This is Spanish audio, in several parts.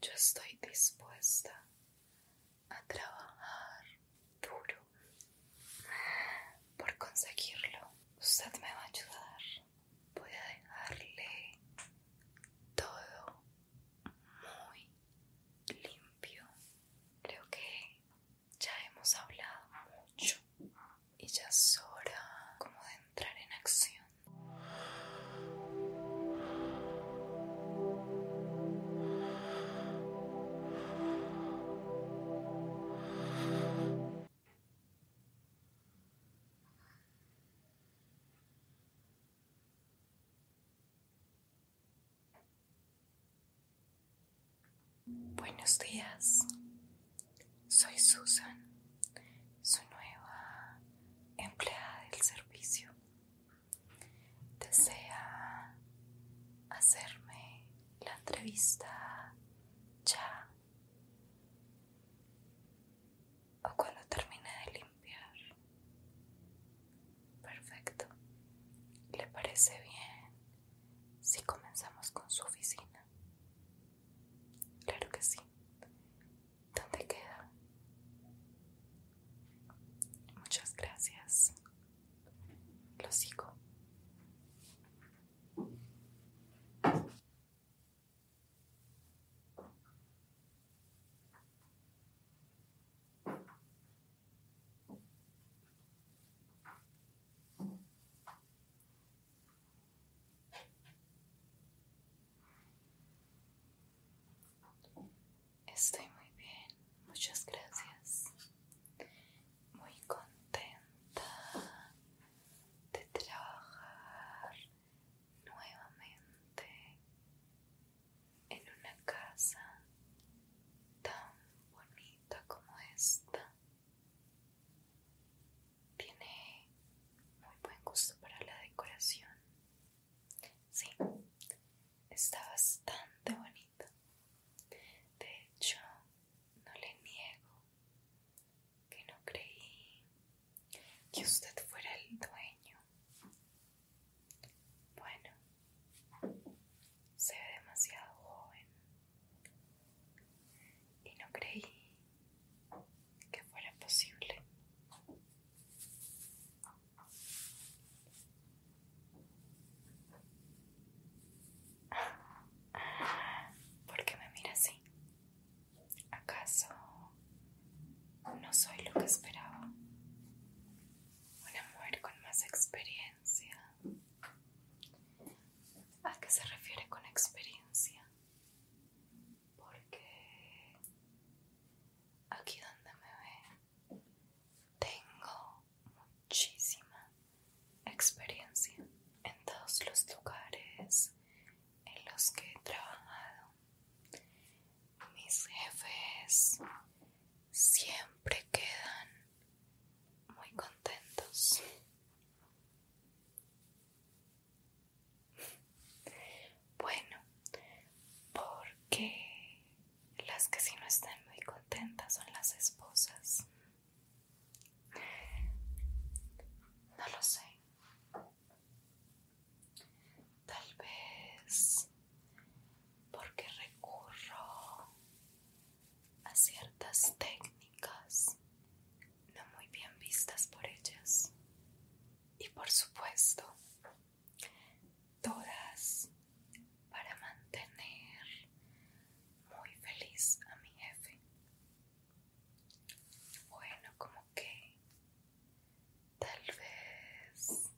Yo estoy dispuesta a trabajar duro por conseguirlo. Usted me va a ayudar. Voy a dejarle todo muy limpio. Creo que ya hemos hablado mucho y ya es hora como de entrar en acción. Buenos días, soy Susan, su nueva empleada del servicio desea hacerme la entrevista ya o cuando termine de limpiar. Perfecto. ¿Le parece bien si comenzamos con su oficina? Claro que sí. ¿Dónde queda? Muchas gracias. Lo sigo. Estoy muy bien, muchas gracias. Muy contenta de trabajar nuevamente en una casa tan bonita como esta. Tiene muy buen gusto para la decoración Sí, está bastante bonito. De hecho, no le niego que no creí que usted fuera el dueño. Bueno, se ve demasiado joven y no creí que fuera posible. ¿Por qué me mira así? ¿Acaso no soy lo que esperaba? Una mujer con más experiencia. ¿A qué se refiere con experiencia? Porque aquí donde me ve, tengo muchísima experiencia en todos los lugares en los que he trabajado. Mis jefes siempre quedan muy contentos. Bueno, porque las que sí no están muy contentas son las esposas. No lo sé. Tal vez porque recurro a ciertas técnicas no muy bien vistas por ellas. Y por supuesto, todas para mantener muy feliz a mi jefe. Bueno, como que tal vez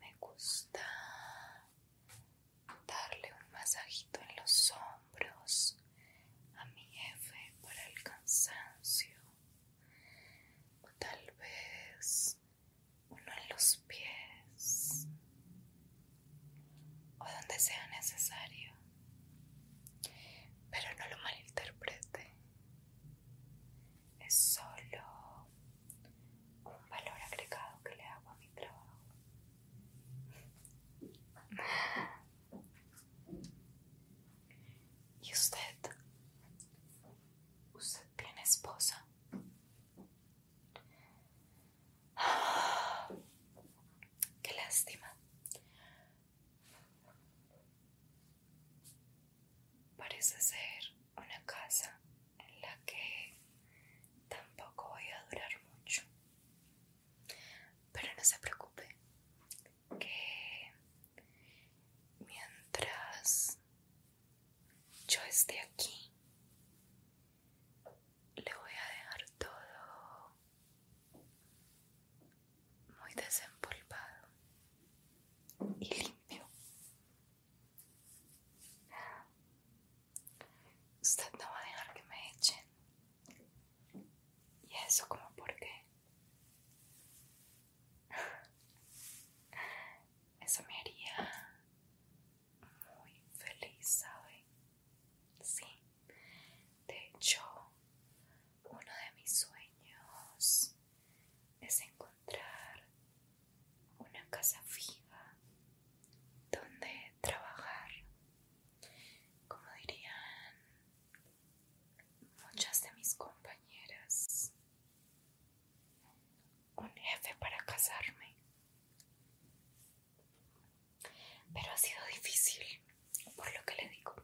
me gusta darle un masajito en los hombros a mi jefe para el cansancio o tal vez uno en los pies o donde sea necesario, pero no lo malinterprete, es solo un valor agregado que le hago a mi trabajo. ¿Y usted ¿Usted tiene esposa? Qué lástima. Parece ser una casa en la que tampoco voy a durar mucho. Pero no se preocupe, que mientras yo estoy aquí le voy a dejar todo muy desempolvado y limpio usted no va a dejar que me echen y eso como por qué eso me haría muy feliz, ¿sabes? Sí. De hecho, uno de mis sueños es encontrar una casa fija donde trabajar. Como dirían muchas de mis compañeras, un jefe para casarme. Pero ha sido difícil, por lo que le digo,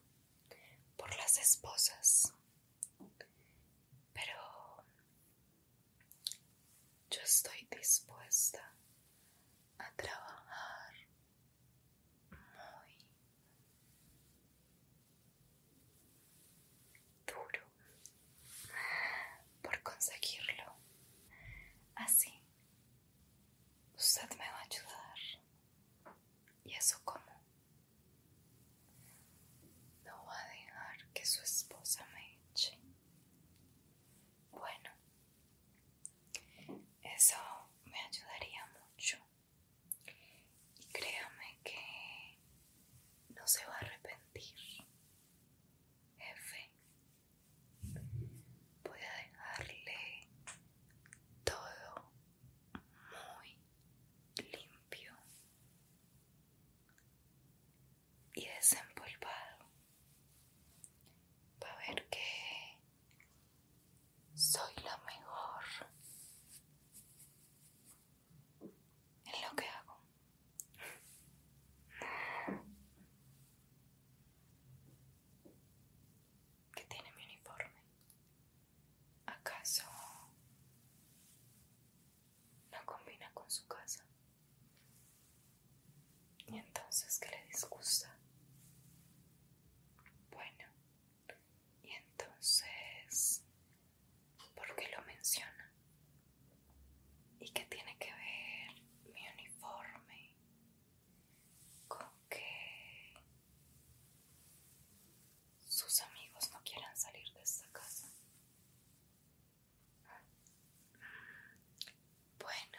por las esposas. Pero yo estoy dispuesta a trabajar muy duro por conseguirlo. Así, usted me va a ayudar. ¿Y eso como? No va a dejar que su esposa me eche. Bueno, eso me ayudaría mucho y créame que no se va a arrepentir. Jefe, voy a dejarle todo muy limpio y desempolvado para ver que soy la mejor es lo que hago. ¿Qué tiene mi uniforme? ¿Acaso no combina con su casa? ¿Y entonces qué le disgusta? Bueno, y entonces, ¿por qué lo menciona? ¿Y qué tiene que ver mi uniforme con que sus amigos no quieran salir de esta casa? Bueno,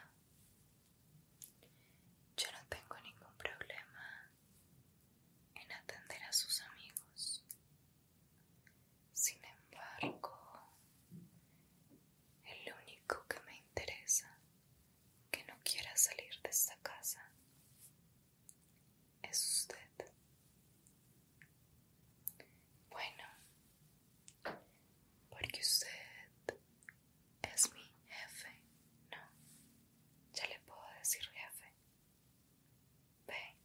yo no tengo ningún problema en atender a sus amigos. Sin embargo, El único que me interesa que no quiera salir de esta casa es usted. Bueno, porque usted es mi jefe, ¿no? Ya le puedo decir jefe. Ve,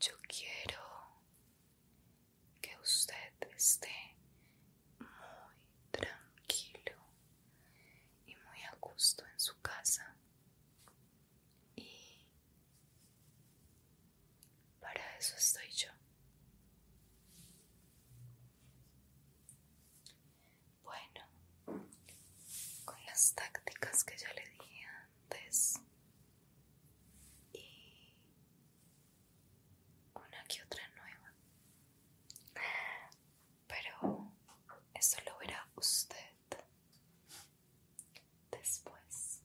yo quiero que usted esté muy tranquilo y muy a gusto en su casa. Y para eso estoy yo. Bueno, con las tácticas que ya le dije antes y una que otra nueva. Pero eso lo verá usted después.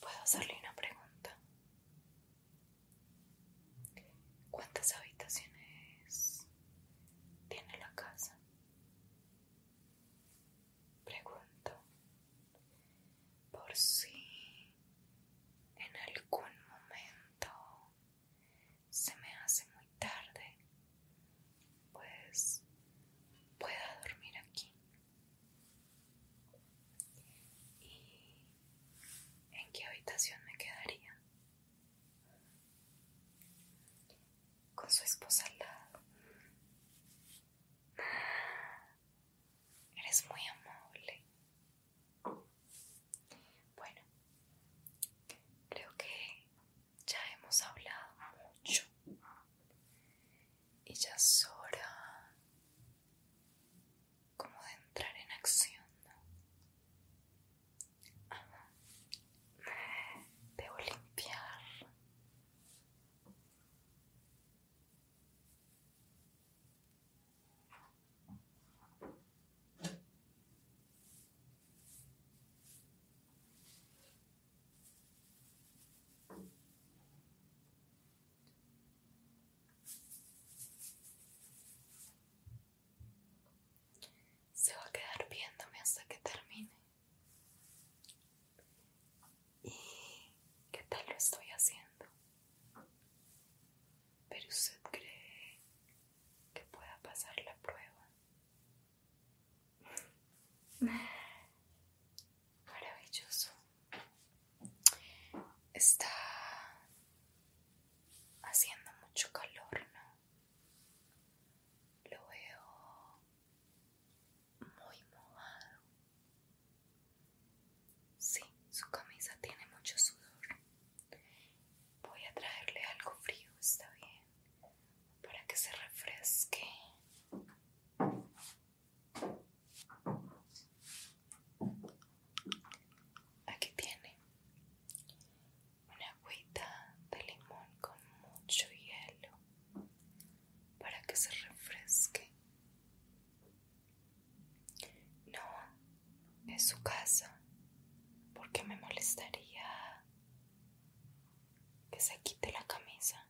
Puedo hacerle una pregunta. ¿Cuántas habitaciones tiene la casa? Pregunto por si en algún momento se me hace muy tarde, pues pueda dormir aquí. ¿Y en qué habitación me quedaría? Con su esposa al lado. Eres muy amable. Bueno, creo que ya hemos hablado mucho y ya es hora como de entrar en acción, ah, Debo limpiar. Se va a quedar viéndome hasta que termine. ¿Y qué tal lo estoy haciendo? Pero usted cree que pueda pasar la prueba. maravilloso está haciendo mucho calor no lo veo muy mojado sí su camisa tiene mucho sudor voy a traerle algo frío está bien para que se refresque Aquí tiene una agüita de limón con mucho hielo para que se refresque. No, es su casa, porque me molestaría que se quite la camisa.